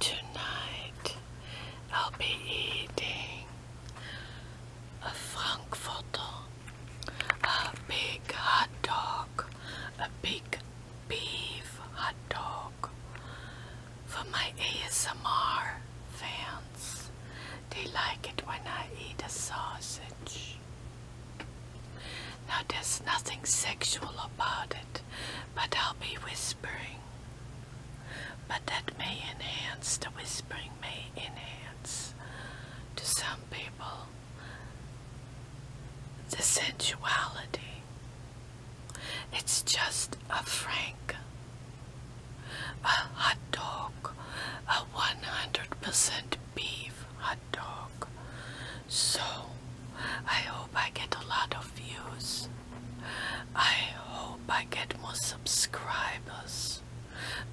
Tonight I'll be eating a Frankfurter, a big hot dog, a big beef hot dog for my ASMR fans. They like it when I eat a sausage. Now there's nothing sexual about it but I'll be whispering. But that may enhance, the whispering may enhance to some people the sensuality. It's just a frank, a hot dog, a 100% beef hot dog so I hope I get a lot of views. I hope I get more subscribers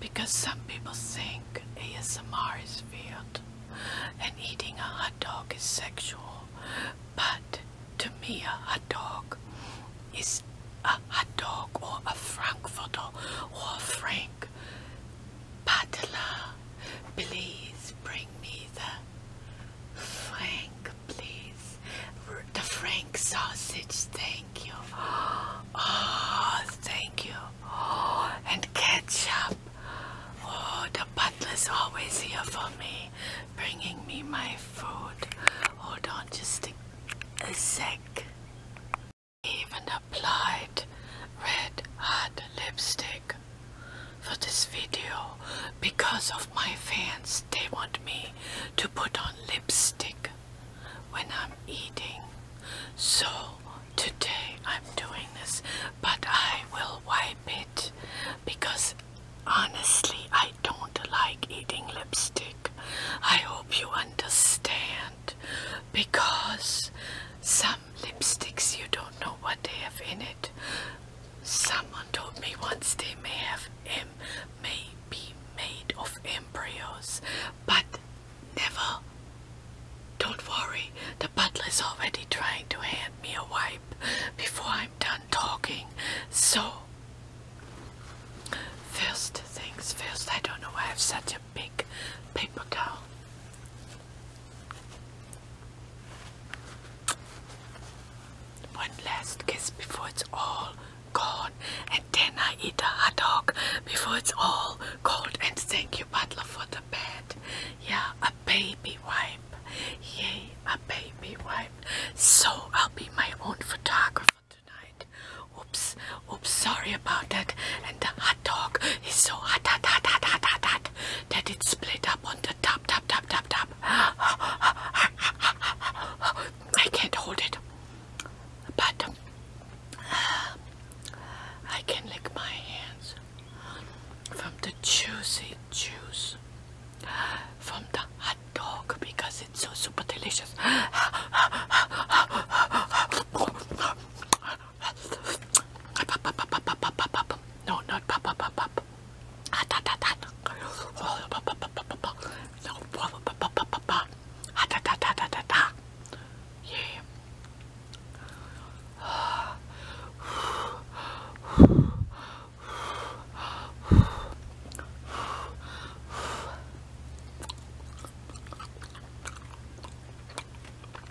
because some people think ASMR is weird and eating a hot dog is sexual. But to me, a hot dog is a hot dog or a Frankfurter or a Frank. Patela, please bring me the Frank, please. The Frank sausage, thank you. Oh, thank you. Oh, and ketchup. Oh, the butler's always here for me, bringing me my food. Hold on just a, sec. Even applied red hot lipstick for this video because of my fans. They want me to put on lipstick when I'm eating. So today I'm doing this, but I will wipe it because honestly I don't like eating lipstick. I hope you understand because some lipsticks you don't know what they have in it. Someone told me once they may have M may be made of embryos, but never. Don't worry, the butler's already trying to hand me a wipe before I'm done talking. So, first things first, I don't know why I have such a big paper towel. One last kiss before it's all gone, and then I eat a hot dog before it's all cold. And thank you, Butler, for the bed. Yeah, a baby wipe. Yay, a baby wipe. So I'll be my own photographer tonight. Oops, oops, sorry about that. And the hot dog is so hot, hot, hot, hot, hot, hot, hot that it's split up on the top, top, top, top, top. I can't hold it, but uh, I can lick my hands from the juicy juice from the hot dog because it's so super delicious. No, not pop, pop, pop, pop.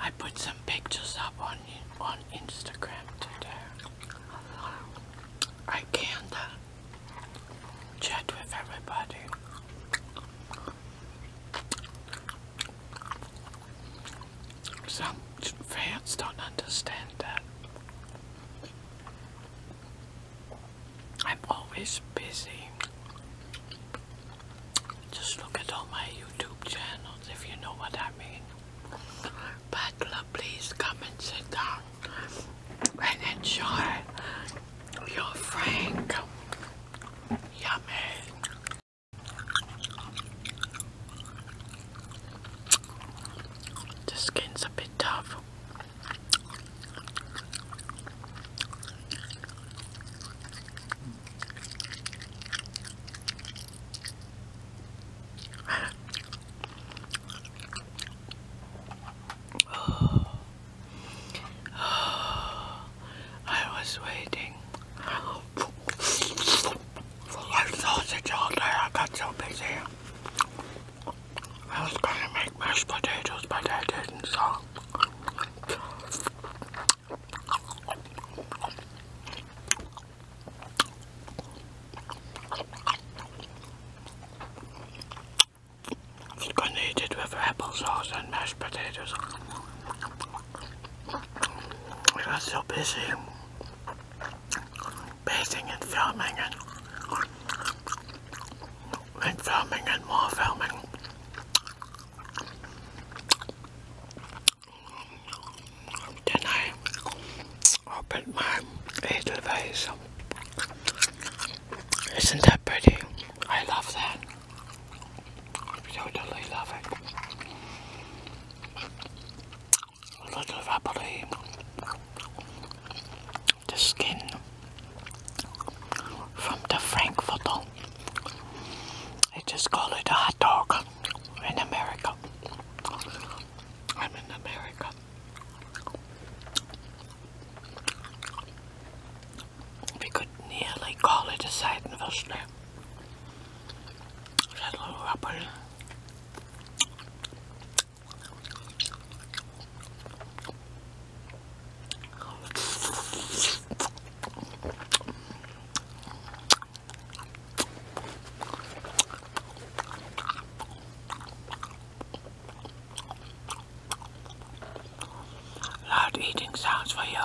I put some pictures up on on Instagram today. I can not uh, chat with everybody. Some fans don't understand that. I'm always busy. Just look at all my YouTube channels if you know what I mean. But uh, please come and sit down and enjoy your Frank. Yummy. The skin's a bit tough. I was waiting for my sausage all day. I got so busy. I was gonna make mashed potatoes, but I didn't, so. I'm just gonna eat and mashed potatoes. I got so busy bathing and filming and and filming and more filming. Then opened my edelweiss. Isn't that pretty? I love that. Totally love it. A little rubbery the skin from the Frankfurter. They just call it a hot dog in America. I'm in America. We could nearly call it a Seidenwürstle. That little rubber Loud eating sounds for you.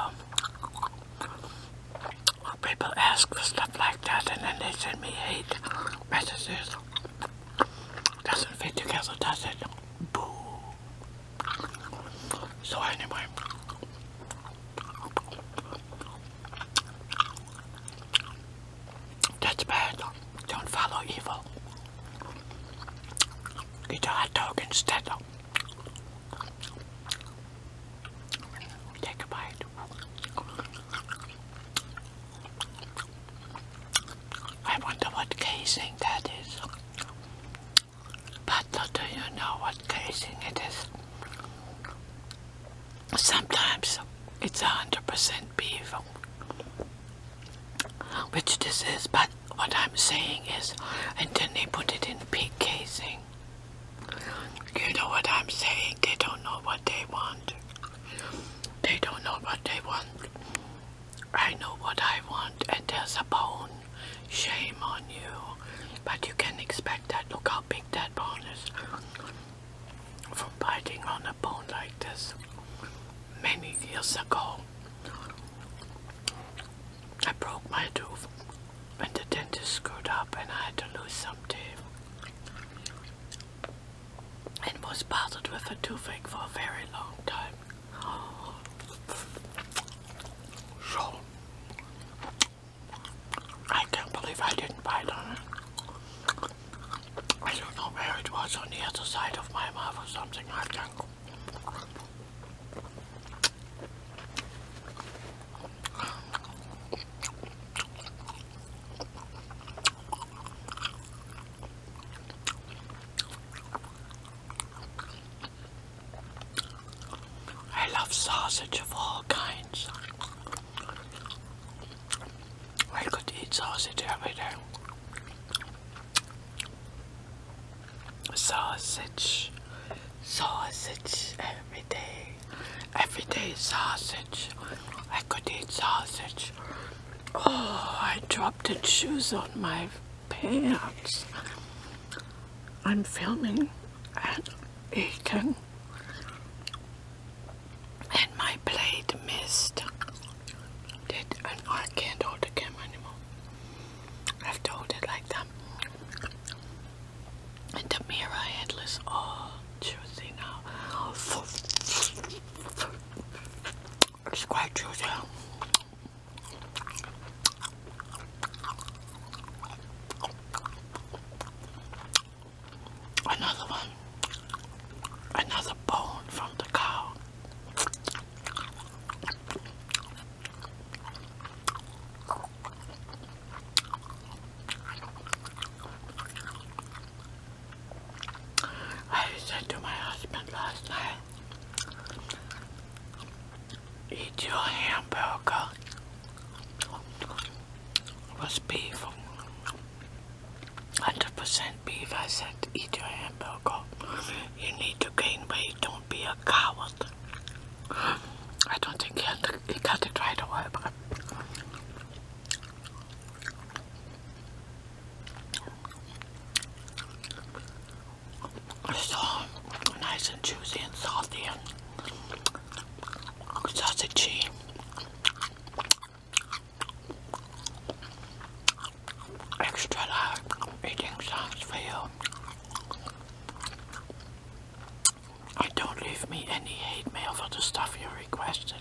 People ask for stuff like that and then they send me hate messages doesn't fit together, does it? Boo. So anyway. That's bad. Don't follow evil. Eat a dog instead. Take a bite. I wonder what casing that is. But do you know what casing it is? Sometimes it's a 100% beef, which this is, but what I'm saying is, and then they put it in pig casing. You know what I'm saying? They don't know what they want. They don't know what they want. I know what I want, and there's a bone. Shame on you. But you can expect that. Look how big that bone is. From biting on a bone like this many years ago. I broke my tooth and the dentist screwed up and I had to lose some teeth and was bothered with a toothache for a very long time. So, I can't believe I didn't bite on it. I don't know where it was on the other side of my mouth or something. I can't. I love sausage of all kinds. I could eat sausage every day. Sausage, sausage every every day. Every day sausage. I could eat sausage. Oh, I dropped the shoes on my pants. I'm filming and eating. And my plate missed. Did I can't hold the camera anymore. I have to it like that and Tamira Headless. Oh, juicy now. It's quite juicy. Another one. Another bone from the cow. I said to my husband last night, eat your hamburger with beef, 100% beef. I said, eat your hamburger. You need to gain weight, don't be a coward. I don't think he, had to, it right away, but it's nice and juicy and salty and sausagey. Extra large eating sounds for you. I don't leave me any hate mail for the stuff you requested.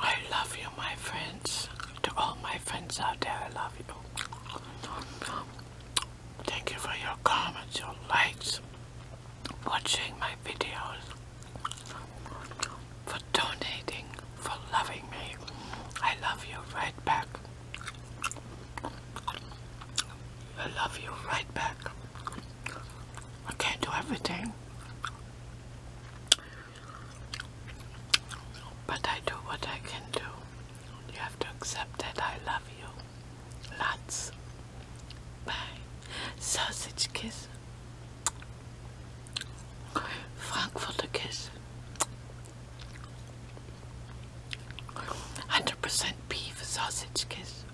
I love you, my friends. To all my friends out there, I love you. Thank you for your comments, your likes, watching my videos for donating, for loving me. I love you right back. I love you right back. I can't do everything. But I do what I can do. You have to accept that I love you. Lots. Bye. Sausage kiss. Frankfurter Kiss. 100% beef sausage kiss.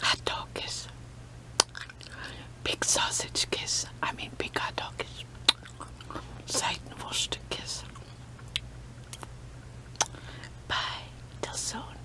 Hot dog kiss. Big sausage kiss. I mean big hot dog kiss. Seitenwurst kiss. Bye. Till soon.